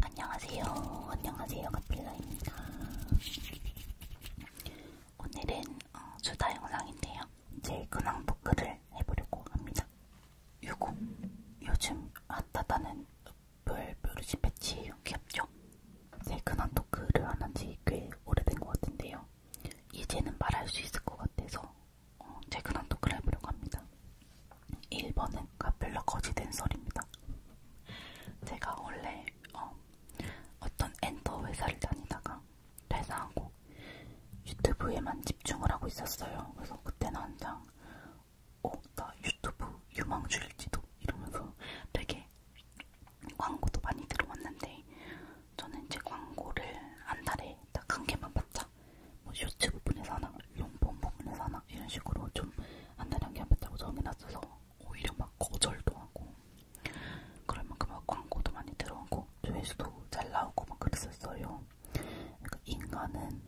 안녕하세요. 안녕하세요. 카필라입니다. 오늘은 어, 주다 영상인데요. 제 근황 토크를 해보려고 합니다. 요거 요즘 핫하다는 별뾰루지 패치 귀엽죠? 제 근황 토크를 안한지 꽤 오래된 것 같은데요. 이제는 말할 수 있을 것 같아서 어, 제 근황 토크를 해보려고 합니다. 1번은 카펠라 거지 댄설입니다. 제가 원래 어, 어떤 엔터 회사를 다니다가 퇴사하고 유튜브에만 집중을 하고 있었어요. 그래서 그때는 한창 어, 나 유튜브 유망주일지도 이러면서 되게 광고도 많이 들어왔는데 저는 이제 광고를 한 달에 딱 한 개만 받자 뭐 유튜브 분에서 하나, 용본 부분에서 하나 막 이런 식으로 좀 안다는 게안 됐다고 정이 났어서 오히려 막 거절도 하고 그런 만큼 막 광고도 많이 들어오고 조회수도 잘 나오고 막 그랬었어요. 그러니까 인간은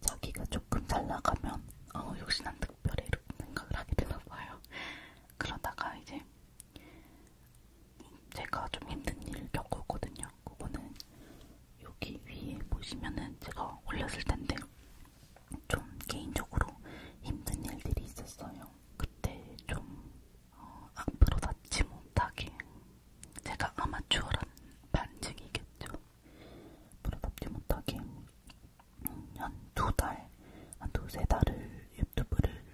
자기가 조금 잘 나가면 어 역시 난 특별해 이렇게 생각을 하게 되나 봐요. 그러다가 이제 제가 좀 힘든 일을 겪었거든요. 그거는 여기 위에 보시면은 제가 올렸을 텐데 좀 개인적으로 힘든 일들이 있었어요. 그때 좀 어, 앞으로 닿지 못하게 제가 아마추어란 반증이겠죠. 앞으로 닿지 못하게 한 두 달, 한 두 세 달을 유튜브를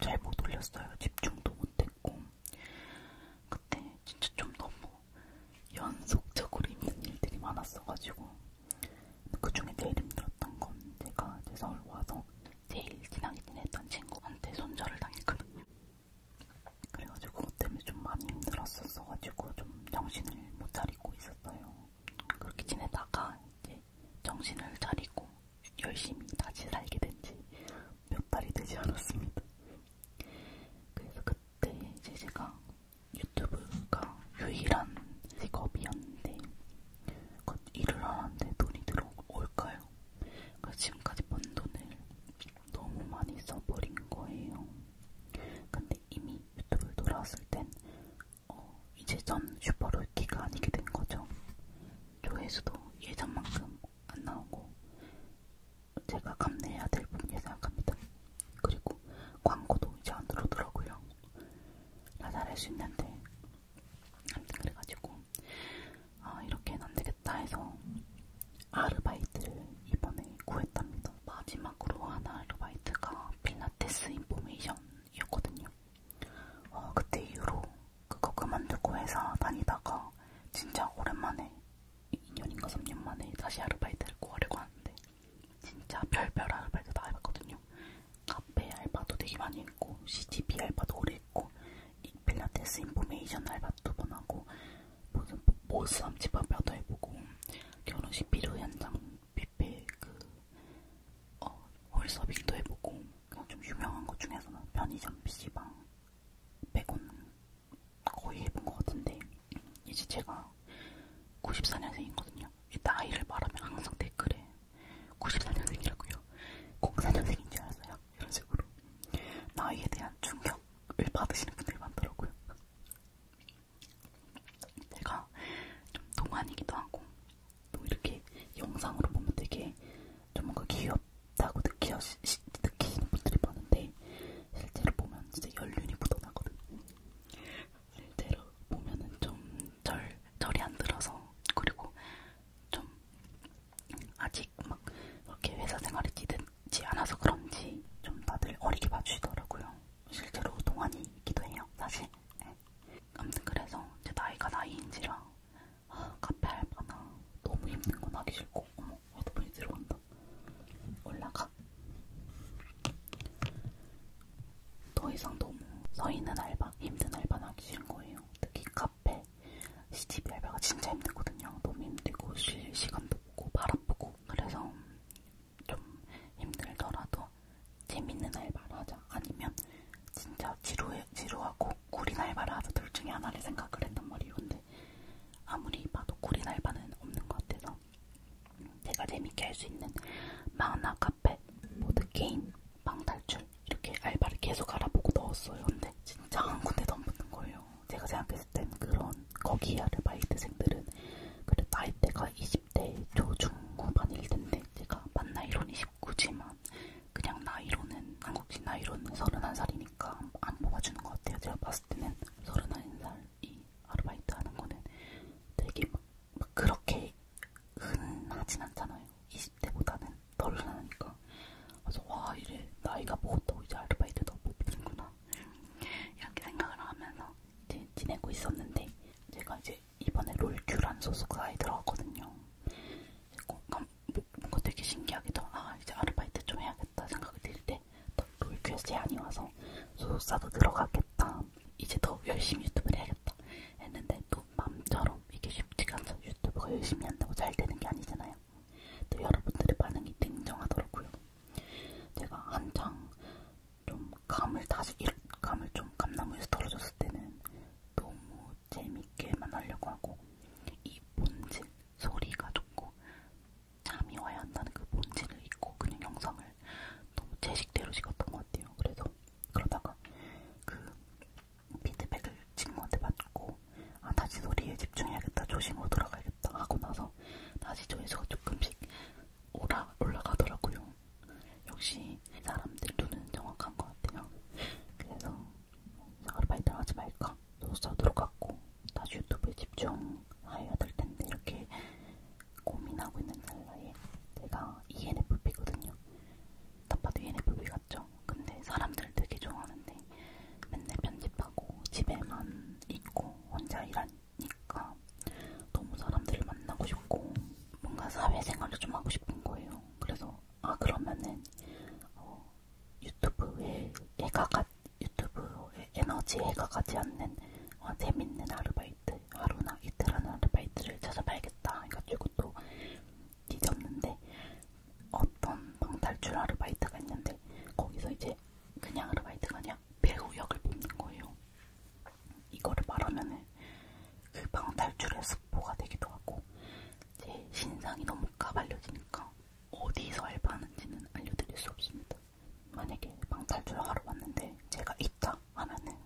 잘 못 올렸어요. 집중도 못했고 그때 진짜 좀 너무 연속적으로 힘든 일들이 많았어가지고 그 중에 제일 힘들었던 건 제가 이제 서울 와서 제일 친하게 지냈던 친구한테 손절을 당했거든요. 그래가지고 그것 때문에 좀 많이 힘들었었어가지고 좀 정신을 못 차리고 있었어요. 그렇게 지내다가 이제 정신을 차리고 열심히 다시 살게 된지몇 달이 되지 않았습니다. 그래서 그때 이제 제가 유튜브가 유일한 직업이었는데 일을 하는데 돈이 들어올까요? 그러니까 지금까지 번 돈을 너무 많이 써버린 거예요. 근데 이미 유튜브를 돌아왔을 땐 어, 이제 전 슈퍼롤키가 아니게 된 거죠. 조회수도 예전만큼 안 나오고 제가 감내해야 될 부분이라고 생각합니다. 그리고 광고도 이제 안 들어오더라고요. 나잘할 수 있는데 아무튼 그래가지고 아 이렇게는 안 되겠다 해서 아르바이트를 이번에 구했답니다. 마지막으로 한 아르바이트가 필라테스 인포메이션이었거든요. 어, 그때 이후로 그거 그만두고 회사 다니다가 진짜 오랜만에 2년인가 3년 만에 다시 아르바이트를 구하려고 하는데 진짜 별별 알바를 다 해봤거든요. 카페 알바도 되게 많이 했고, CGV 알바도 오래 했고, 필라테스 인포메이션 알바도 두번 하고, 무슨 보쌈 집 알바도 해보고, 결혼식 비료 현장 뷔페 그, 어, 홀서빙도 해보고, 그냥 좀 유명한 것 중에서는 편의점 PC방 빼고는 거의 해본 것 같은데 이제 제가 94년생이거든요. 나이를 말하면 항상 댓글에 94년생이라고요. 04년생인 줄 알았어요. 이런 식으로 나이에 대한 충격을 받으시는 분들이 많더라고요. 제가 좀 동안이기도 하고 또 이렇게 영상으로 보면 되게 좀 뭔가 귀엽다고 느끼시, 느끼시는 분들이 많은데 실제로 보면 진짜 연륜이 묻어나거든요. 실제로 보면은 좀 절, 절이 안 들어서 그리고 좀 아직 막 그렇게 회사 생활이 지든지 않아서 그런지 좀 다들 어리게 봐주시더라고요. 실제로 동안이기도 해요, 사실. 네. 아무튼 그래서 제 나이가 나이인지라 아, 카페 알바나 너무 힘든 건 하기 싫고 어머, 헤드폰이 들어간다. 올라가. 더 이상 너무 서있는 알바, 힘든 알바는 하기 싫은 거예요. 특히 카페, 시집 알바가 진짜 힘들거든요. 너무 힘들고 쉴 시간도 없고 발 아프고 그래서 좀 힘들더라도 재밌는 알바를 하자. 아니면 진짜 지루해, 지루하고 구린 알바를 하자. 둘 중에 하나를 생각을 했단 말이에요. 근데 아무리 봐도 구린 알바는 없는 것 같아서 내가 재밌게 할 수 있는 만화 카페, 보드게임, 방탈출 이렇게 알바를 계속 알아보고 넣었어요. 근데 진짜 한 군데도 안 붙는 거예요. 제가 생각했을 땐 그런 거기 아르바이트생들은 그래 나이대가 20대 초중후반일 텐데 제가 만 나이론 29지만 그냥 나이로는 한국식 나이로는 31살이니까 안 뽑아주는 것 같아요. 제가 봤을 때는 31살 이 아르바이트 하는 거는 되게 막, 막 그렇게 흔하진 않잖아요. 20대보다는 덜 흔하니까. 그래서 와 이래 나이가 먹었다고 이제 아르바이트도 못 보는구나. 이렇게 생각을 하면서 이제 지내고 있었는데 제가 이제 이번에 롤큐란 소속사에 들어왔거든요. 뭔가 되게 신기하게도 아 이제 아르바이트 좀 해야겠다 생각이 들때 또 리퀘스트 제안이 와서 소속사도 들어가겠다. 이제 더 열심히 유튜브를 해야겠다. 했는데 또 맘처럼 이게 쉽지가 않죠. 유튜브가 열심히 한다고 잘 되는 게 아니잖아요. 또 여러분들의 반응이 냉정하더라고요. 제가 한창 좀 감을 다시 감을 좀 감나무에서 떨어졌을 때는 너무 재밌게만 하려고 하고 이 본질 소리가 좋고 잠이 와야 한다는 그 본질을 잊고 그냥 영상을 너무 제식대로 찍었던 것 같아요. 그래서 그러다가 그 피드백을 친구한테 받고 아 다시 소리에 집중해야겠다 조심으로 돌아가야겠다 하고 나서 다시 조회수가 조금씩 올라, 올라가더라고요. 역시 사람들 눈은 정확한 것 같아요. 그래서 아르바이트를 하지 말까 소스타도로 갖고 다시 유튜브에 집중해야 될 텐데 이렇게 고민하고 있는 찰나에 제가 ENFP거든요. 딱 봐도 ENFP 같죠? 근데 사람들 되게 좋아하는데 맨날 편집하고 집에만 있고 혼자 일하니까 너무 사람들을 만나고 싶고 뭔가 사회생활을 좀 하고 싶은 거예요. 그래서 아 그러면은 어, 유튜브에 얘가 같 유튜브에 에너지 해가 가지 않는 어, 재밌는 아르바이트 하루나 이틀 하는 아르바이트를 찾아봐야겠다 해가지고 또 뒤졌는데 어떤 방탈출 아르바이트가 있는데 거기서 이제 그냥 아르바이트가 아니라 배우 역을 뽑는 거예요. 이거를 말하면은 그 방탈출의 스포가 되기도 하고 제 신상이 너무 까발려지니까 어디서 알바하는지는 알려드릴 수 없습니다. 만약에 방탈출 하러 왔는데 제가 있다 하면은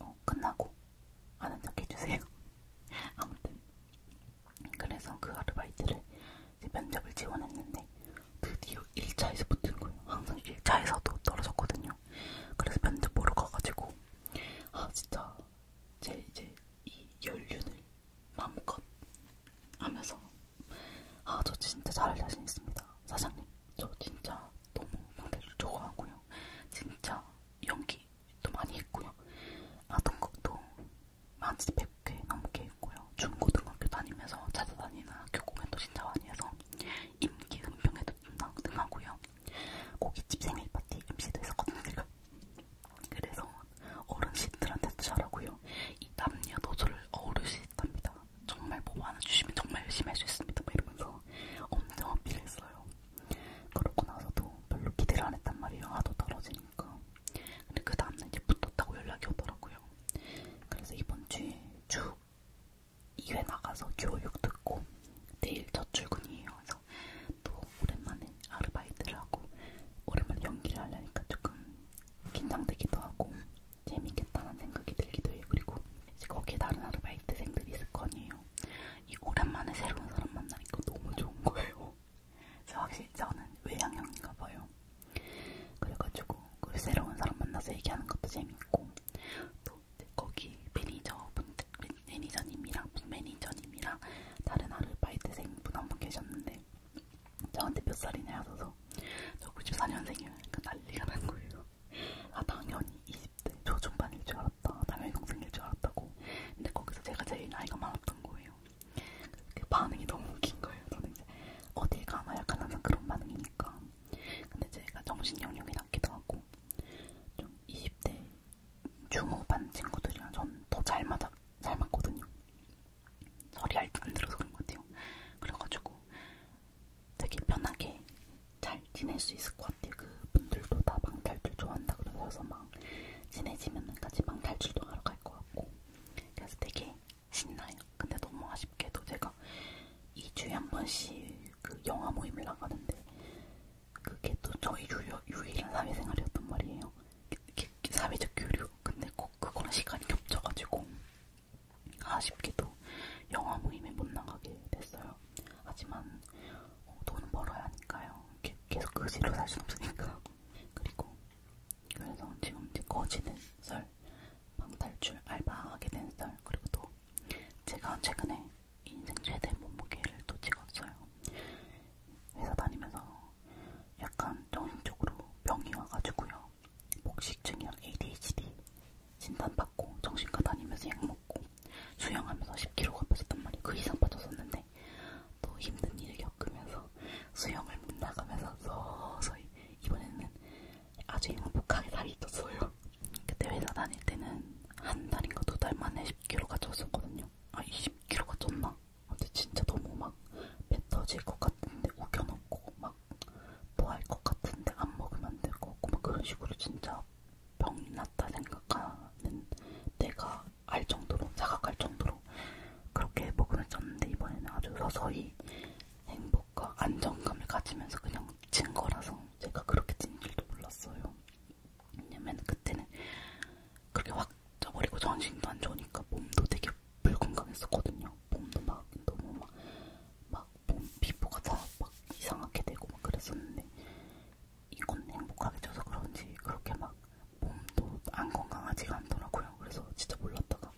어, 끝나고 아는 척 해주세요. 아무튼 그래서 그 아르바이트를 면접을 지원했는데 드디어 1차에서 붙은 거예요. 항상 1차에서도 떨어졌거든요. 그래서 면접 보러 가가지고 아 진짜 제 이제 이 연륜을 마음껏 하면서 아저 진짜 잘할 자신 있습니다. 사장님 저 진짜 너무 노래를 좋아하고요. 진짜 연기도 많이 했고요. 아동극도 한 100개 넘게 했고요. 중고등학교 다니면서 찾아다니는 학교 공연도 진짜 많이 해서 임기 은평에도 등하고요. 고깃집 생일 파티 MC도 했었거든요. 제가. 그래서 어른 시들한테도 잘하고요. 이 남녀노소를 어우를 수 있답니다. 정말 보고 뭐 하나 주시면 정말 열심히 할 수 있습니다. 막 이러면서 엄청 어필 했어요. 그러고 나서도 별로 기대를 안 했단 말이에요. 하도 아, 떨어지니까. 근데 그 다음날 이제 붙었다고 연락이 오더라고요. 그래서 이번 주에 쭉 2회 나가서 교육 듣고 내일 첫 출근이에요. 그래서 또 오랜만에 아르바이트를 하고 오랜만에 연기를 하려니까 조금 긴장되기도 하고 재밌겠다는 생각이 들기도 해요. 그리고 이제 거기에 다른 아르바이트생들이 있을 거 아니에요. 이 오랜만에 새로운 사람 만나니까 너무 좋은 거예요. 저 확실히 저는 외향형인가 봐요. 그래가지고 그 새로운 사람 만나서 얘기하는 것도 재밌고 또 거기 매니저 분, 매니저님이랑 매니저님이랑 다른 아르바이트생 분 한 분 계셨는데 저한테 몇 살이냐 하셔서 거예요. 저 94년생이에요. 그러니까 난리가 난 거예요. 아 당연히 20대 초중반일 줄 알았다. 당연히 동생일 줄 알았다고. 근데 거기서 제가 제일 나이가 많았던 거예요. 그 반응이 너무 웃긴 거예요. 저는 이제 어디 가나 약간 항상 그런 반응이니까. 근데 제가 정신 영역이 낮기도 하고 좀 20대 중후반 친구들이랑 전더잘 맞아 잘 맞거든요. 저리 안 들어서 그런 것 같아요. 그래가지고 되게 편하게 잘 지낼 수 있을 것 같아요. 그 분들도 다 방탈출 좋아한다 그러셔서 막 친해지면은 같이 방탈출도 하러 갈 것 같고 그래서 되게 신나요. 근데 너무 아쉽게도 제가 2주에 한 번씩 그 영화 모임을 나가는데 그게 또 저희 유료, 유일한 사회생활이었단 말이에요. 그, 그, 그 사회적 교류. 근데 꼭 그거랑 시간이 겹쳐가지고 아쉽게도 영화 모임에 못 나가게 됐어요. 하지만 어, 돈은 벌어야 하니까요. 이렇게 계속 거지로 살 수 없으니까. 그리고 그래서 지금 이제 거지는 썰, 방탈출 알바하게 된 썰, 그리고 또 제가 최근에 인생 최대 몸무게를 또 찍었어요. 회사 다니면서 약간 정신적으로 병이 와가지고요. 복식증이랑 ADHD 진단받고 정신과 다니면서 약 먹고 수영하면서 10kg가 빠졌단 말이에요. 그 이상 빠졌었는데 또 힘든 일을 겪으면서 수영을 못 나가면서 서서히 이번에는 아주 행복하게 살이 떴어요. 그때 회사 다닐 때는 한 달인가 두 달 만에 10kg가 쪘었거든요. 아 20kg가 쪘나? 근데 진짜 너무 막배 터질 것 같은데 우겨놓고 막막 뭐 토할 것 같은데 안 먹으면 안 될 거고 막 그런 식으로 진짜 병이 났다 생각하는 내가 알 정도로 자각할 정도로 그렇게 복근을 쪘는데 이번에는 아주 서서히 행복과 안정감을 가지면서 그냥 찐 거라서 제가 그렇게 찐 줄도 몰랐어요. 왜냐면 그때는 그렇게 확 쪄버리고 정신도 안 좋으니까 몸도 되게 불건강했었거든요. 몸도 막 너무 막, 막 피부가 다 막 이상하게 되고 막 그랬었는데 이건 행복하게 쪄서 그런지 그렇게 막 몸도 안 건강하지가 않더라고요. 그래서 진짜 몰랐다가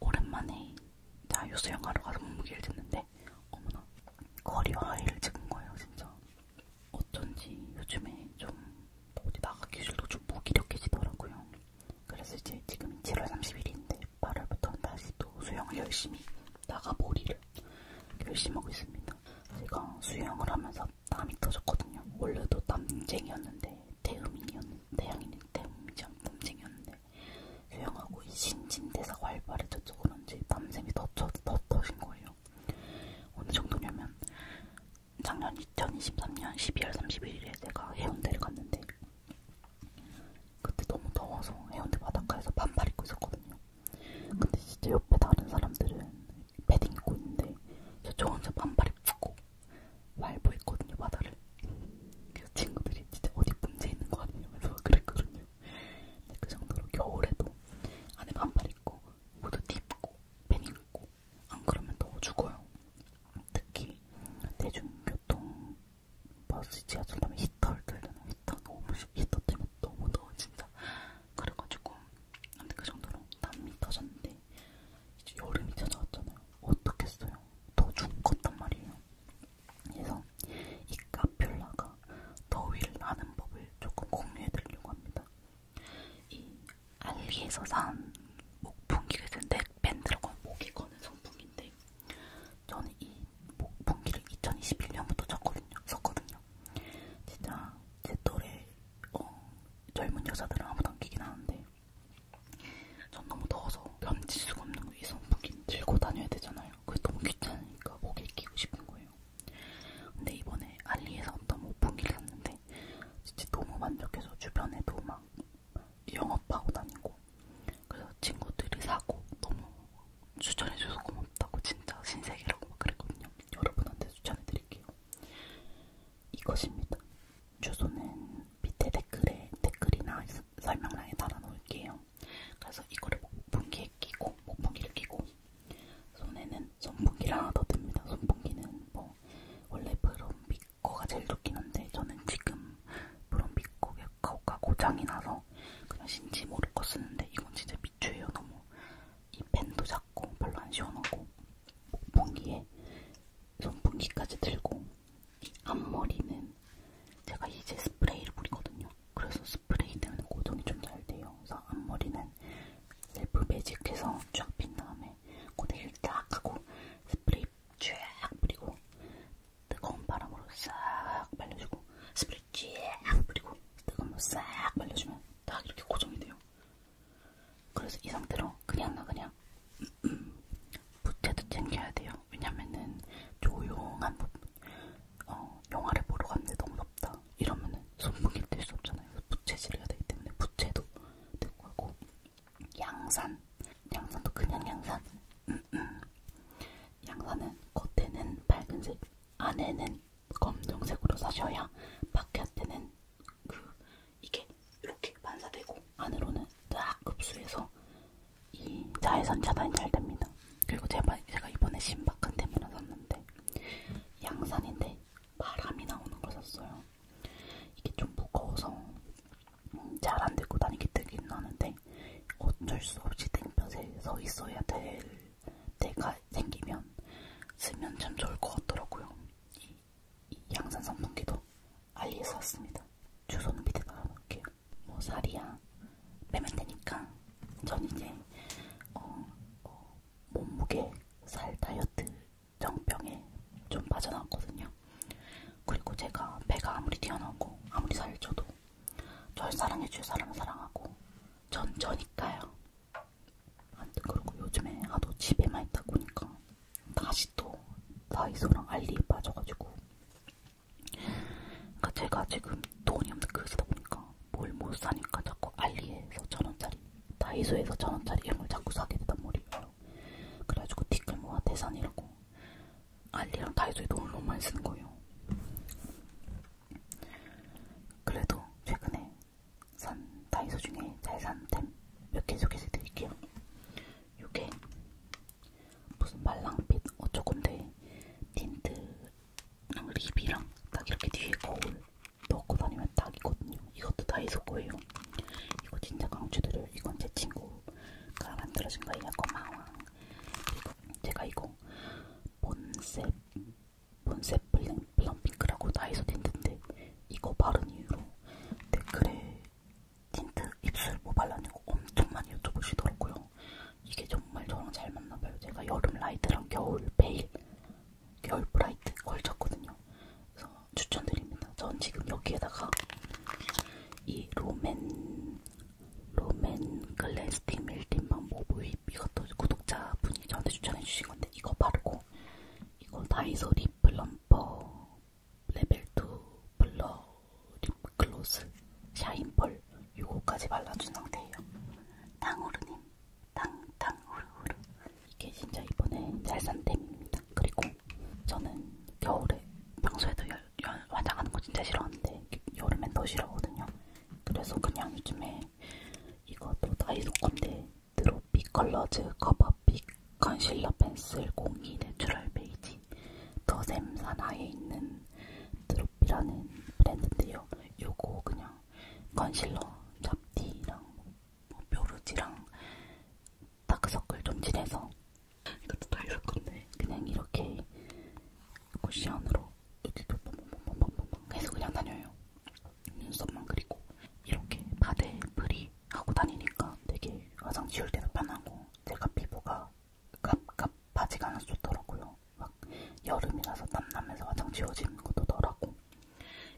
오랜만에 자유 수영하러 가서 몸무게를 쟀는데 어머나 거리어 하이를 찍은 거예요 진짜. 어쩐지 요즘에 좀 어디 나가기 싫도 좀 무기력해지더라고요. 그래서 이제 지금 7월 30일인데 8월부터는 다시 또 수영을 열심히 나가보리를 열심히 하고 있습니다. 제가 수영을 하면서 땀이 터졌거든요. 원래도 땀쟁이였는데 대음인이었는데 대양이는 대음이지 않 땀쟁이였는데 수영하고 이 신진대사가 활발해져서 그런지 땀샘이 더, 더, 더 터진 거예요. 어느 정도냐면 작년 2023년 12월 31일에 제가 해운대를 갔는데 그때 너무 더워서 해운대 바닷가에서 반팔 입고 있었거든요. 근데 진짜 옆에 다른 사람들은 패딩 입고 있는데 저 혼자 반팔 입고 말보 있거든요 바다를. 그래서 친구들이 진짜 어디 문제 있는 거 아니냐면서 그랬거든요. 근데 그 정도로 겨울에도 안에 반팔 입고 모두 입고 패딩 입고 안 그러면 더 죽어요. 특히 대중교통 버스 지하철 타면 히터를 들려는 히터 너무 히터 때문에 너무 더워 진짜 그래가지고 근데 그 정도로 땀이 터졌는데 이제 여름이 찾아왔잖아요 어떻겠어요 더 죽었단 말이에요 그래서 이 카필라가 더위를 나는 법을 조금 공유해드리려고 합니다 이 알리에서 산 목풍기가 있는데 밴드라고 목이 거는 선풍인데 저는 이 분기를 2021년부터 쳤거든요. 썼거든요. 진짜 제 또래 어, 젊은 여자들은 아무도 안 끼긴 하는데 전 너무 더워서 면칠 수가 없는 거예요. 이 선풍기는 들고 다녀야 되잖아요. 그게 너무 귀찮으니까 목에 끼고 싶은 거예요. 근데 이번에 알리에서 어떤 목풍기를 샀는데 진짜 너무 만족해서 주변에도 막 영업하고 다니고 그래서 친구들이 사고 너무 추천해줘서 고맙다고 진짜 신세계라고 막 그랬거든요. 여러분한테 추천해드릴게요. 이것입니다. 주소는 밑에 댓글에 댓글이나 설명란에 달아놓을게요. 그래서 이거를 목풍기에 끼고 목풍기를 끼고 손에는 손풍기를 하나 더 듭니다. 손풍기는 뭐 원래 브롬비코가 제일 좋긴 한데 저는 지금 브롬비코의 카카오가 고장이 나서 그냥 신지 모르고 쓰는데 이건 진짜 미추예요 너무 이 펜도 작고 별로 안 시원하고 목봉기에 선풍기까지 들고 이 앞머리는 제가 이제 스프레이를 뿌리거든요 그래서 스프레이 때문에 고정이 좀 잘 돼요 그래서 앞머리는 셀프 매직해서 쫙 핀 다음에 고데기를 쫙 하고 스프레이 쫙 뿌리고 뜨거운 바람으로 싹 말려주고 스프레이 쫙 뿌리고 뜨거운 물싹 말려주면 딱 이렇게 고정이 돼요. 그래서 이 상태로 그냥 나 그냥 음, 음, 부채도 챙겨야 돼요. 왜냐면은 조용한 부분, 어, 영화를 보러 갔는데 너무 덥다. 이러면은 손목이 뜰수 없잖아요. 부채질을 해야 되기 때문에 부채도 들고 하고 양산, 양산도 그냥 양산. 음. 양산은 겉에는 밝은색, 안에는 검정색으로 사셔야 바깥에는 그 이게 이렇게 반사되고 안으로는 딱 흡수해서 이 자외선 차단이 잘 됩니다. 그리고 제가, 제가 이번에 신박한 템을 샀는데 양산인데 바람이 나오는 걸 샀어요. 이게 좀 무거워서 잘 안들고 다니기 되긴 하는데 어쩔 수 없이 땡볕에 서 있어야 될 때가 생기면 쓰면 참 좋을 것 같더라고요. 이, 이 양산 선풍기도 알리에서 샀습니다. 주소는 밑에 달아놓을게요. 뭐 살이야 빼면 되니까 전 이제 어, 어, 몸무게 살 다이어트 정병에 좀 빠져나왔거든요. 그리고 제가 배가 아무리 뛰어나고 아무리 살쪄도 절 사랑해줄 사람은 사랑하고 전 저니까요. 아무튼 그리고 요즘에 하도 집에만 있다 보니까 다시 또 다이소랑 알리에 빠져가지고 그러니까 제가 지금 돈이 없는 그릇이다 보니까 뭘 못 사니까 자꾸 알리에서 천원짜리 다이소에서 천원짜리 이런 걸 자꾸 사게 되단 말이에요. 그래가지고 티끌 모아 대산이라고 알리랑 다이소에 돈을 너무 많이 쓰는 거예요. 그래도 최근에 산 다이소 중에 잘 산 템 몇 개 소개해드릴게요. 요게 무슨 말랑빛 어쩌건데 틴트랑 립이랑 딱 이렇게 뒤에 거울 넣고 다니면 딱이거든요. 이것도 다이소 거예요. 이거 진짜 강추드려요. 이건 제 친구가 만들어준 거예요. 고마워. 제가 이거 본셉 본셉 블링 블럼핑크라고 다이소 틴트인데 이거 바른 이유로 댓글에 틴트 입술 뭐 발라냐고 엄청 많이 여쭤보시더라고요. 이게 정말 저랑 잘 맞나봐요. 제가 여름 라이트랑 겨울 베일, 겨울 브라이트 걸쳤거든요. 그래서 추천드립니다. 전 지금 여기에다가 이 로맨 롬앤 글렌스틱 밀림밤 모브입 이것도 구독자분이 저한테 추천해주신 건데 이거 바르고 이거 다이소 립 플럼퍼 레벨2 블러 립글로스 샤인펄 요거까지 발라준 상태예요 당후루님 당당후루후루 이게 진짜 이번에 잘산 템입니다 그리고 저는 겨울에 평소에도 열 연, 화장하는 거 진짜 싫어하는데 여름엔 더 싫어하거든요. 그래서 그냥 요즘에 이것도 다이소 건데 드로피 컬러즈 커버 빅 컨실러 펜슬 02 내추럴 베이지 더샘 산하에 있는 드로피라는 브랜드인데요. 요거 그냥 컨실러 잡티랑 뭐 뾰루지랑 다크서클 좀 칠해서 이것도 다 있을 건데 그냥 이렇게 쿠션으로 여기도 뻥뻥뻥뻥뻥 해서 그냥 다녀요. 눈썹만 그리고 이렇게 바데 프리 하고 다니니까 되게 화장 지울 때도 편하고 제가 피부가 갑갑하지가 않아서 좋더라고요. 막 여름이라서 땀나면서 화장 지워지는 것도 더라고.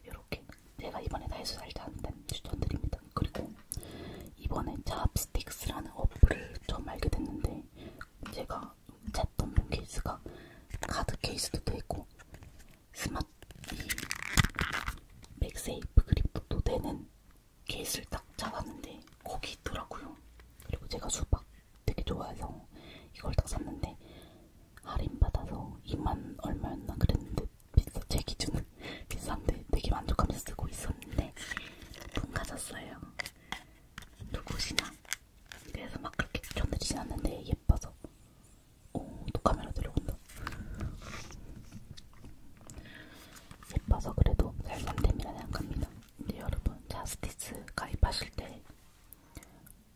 이렇게 제가 이번에 다이소 살지 않는 추천드립니다. 그리고 이번에 찹스틱스라는 어플을 처음 알게 됐는데 제가 찾던 케이스가 카드 케이스도 되고 스마트 맥세이프 그립도 되는 케이스를 딱 잡았는데 거기 있더라고요. 그리고 제가 수박 되게 좋아해서 이걸 딱 샀는데 할인받아서 2만 얼마였나 그랬는데 비싸 제 기준은 비싼데 되게 만족하면서 쓰고 있었는데 분 가졌어요. 누구시나? 그래서 막 그렇게 견드리진 않는데 예뻐서. 오, 또 카메라 들어온다. 예뻐서 그래도 살산됨이라 생각합니다. 근데 여러분, 자스티스 가입하실 때,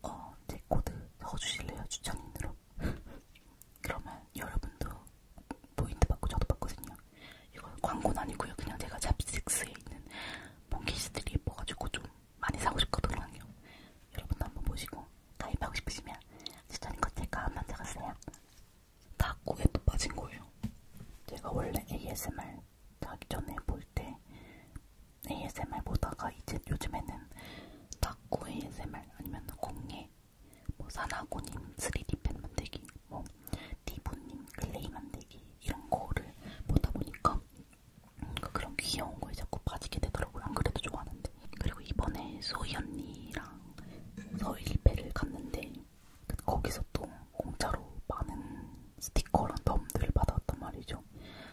어, 제 코드 넣어주실래요? 추천인으로? 그러면 여러분도 포인트 받고 저도 받거든요. 이건 광고는 아니고요. 그냥 제가 잡식스에 있는 몽키시들이 예뻐가지고 좀 많이 사고 싶거든요. 여러분도 한번 보시고 가입하고 싶으시면 추천껏 제가 한번 적었어요. 닭고에 또 빠진 거예요. 제가 원래 ASMR 자기 전에 볼 때 ASMR 보다가 이제 요즘에는 닭고 ASMR 아니면 공예, 뭐 사나고님 3D 펜 만들기 뭐 디보님 클레이 만들기 이런 거를 보다 보니까 그러니까 그런 귀여운 거에 자꾸 빠지게 되더라고요. 안 그래도 좋아하는데. 그리고 이번에 소희 언니랑 서일배를 갔는데 거기서 또 공짜로 많은 스티커랑 덤들을 받아왔단 말이죠.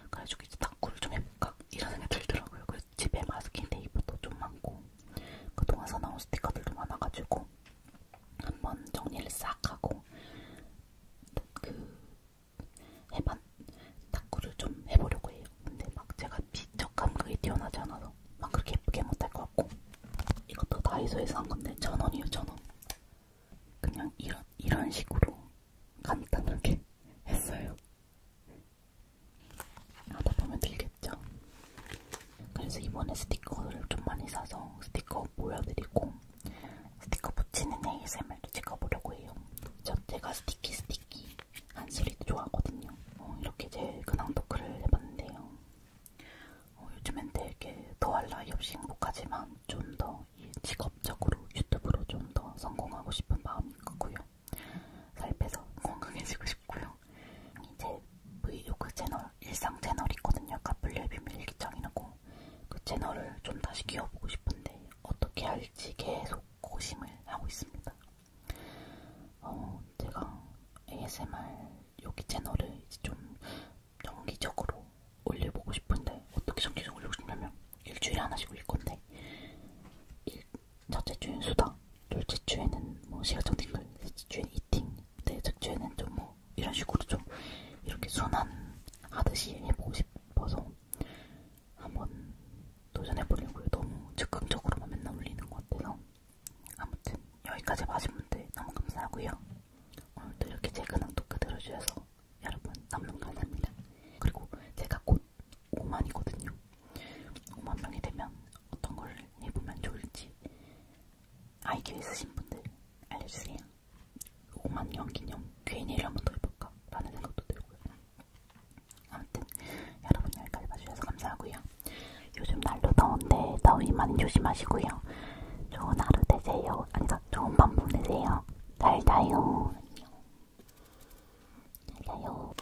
그래서 이제 탁구를 좀 해볼까 이런 생각이 들더라고요. 그래서 집에 마스킹 테이프도 좀 많고 그동안 사나온 스티커들도 많아가지고 한번 정리를 싹 하고 그 해반 탁구를 좀 해보려고 해요. 근데 막 제가 비적감 그게 뛰어나지 않아서 막 그렇게 예쁘게 못할 것 같고 이것도 다이소에서 한 건데 천 원이요 천 원. 그냥 이런 이런 식으로 간단하게 했어요. 하다 보면 들겠죠. 그래서 이번에 스티커를 좀 많이 사서 스티커 스티커 보여드리고 스티커 붙이는 ASMR도 찍어보려고 해요. 저 제가 스티키 스티키 한 소리도 좋아하거든요. 어, 이렇게 제 근황 토크를 해봤는데요. 어, 요즘엔 되게 더할 나위 없이 행복하지만 좀 더 직업적으로 유튜브로 좀 더 성공하고 싶은 마음이 크고요. 살 빼서 건강해지고 싶고요. 이제 브이로그 채널 일상 채널이 있거든요. 카플리의 비밀 일기장이라고 그 채널을 좀 다시 키워보고 싶은데 어떻게 할지 계속 고심을 하고 있습니다. 어, 제가 ASMR 여기 채널을 이제 좀 정기적으로 올려보고 싶은데 어떻게 정기적으로 올리고 싶냐면 일주일에 하나씩 올릴 건데 일, 첫째 주엔 수다, 둘째 주에는 뭐 시가정 팅글, 셋째 주엔 이팅, 넷째 주에는 좀뭐 뭐 이런 식으로 좀 이렇게 순환하듯이 해보고 싶어서 한번 도전해보려고요. 너무 즉흥적으로만 맨날 올리는 것 같아요. 아무튼 여기까지 봐준 분들 너무 감사하고요. 오늘도 이렇게 제 근황 토크 들어주셔서 여러분 너무 감사합니다. 그리고 제가 곧 5만이거든요. 5만 명이 되면 어떤 걸 해보면 좋을지 아이큐 있으신 분들 알려주세요. 5만년 기념 Q&A를 한번 더 해볼까? 라는 생각도 들고요. 아무튼 여러분 여기까지 봐주셔서 감사하고요. 요즘 날도 더운데 더위 많이 조심하시고요. 좋은 하루 되세요. 아니다, 좋은 밤 보내세요. 잘 자요. 안녕. 잘 자요.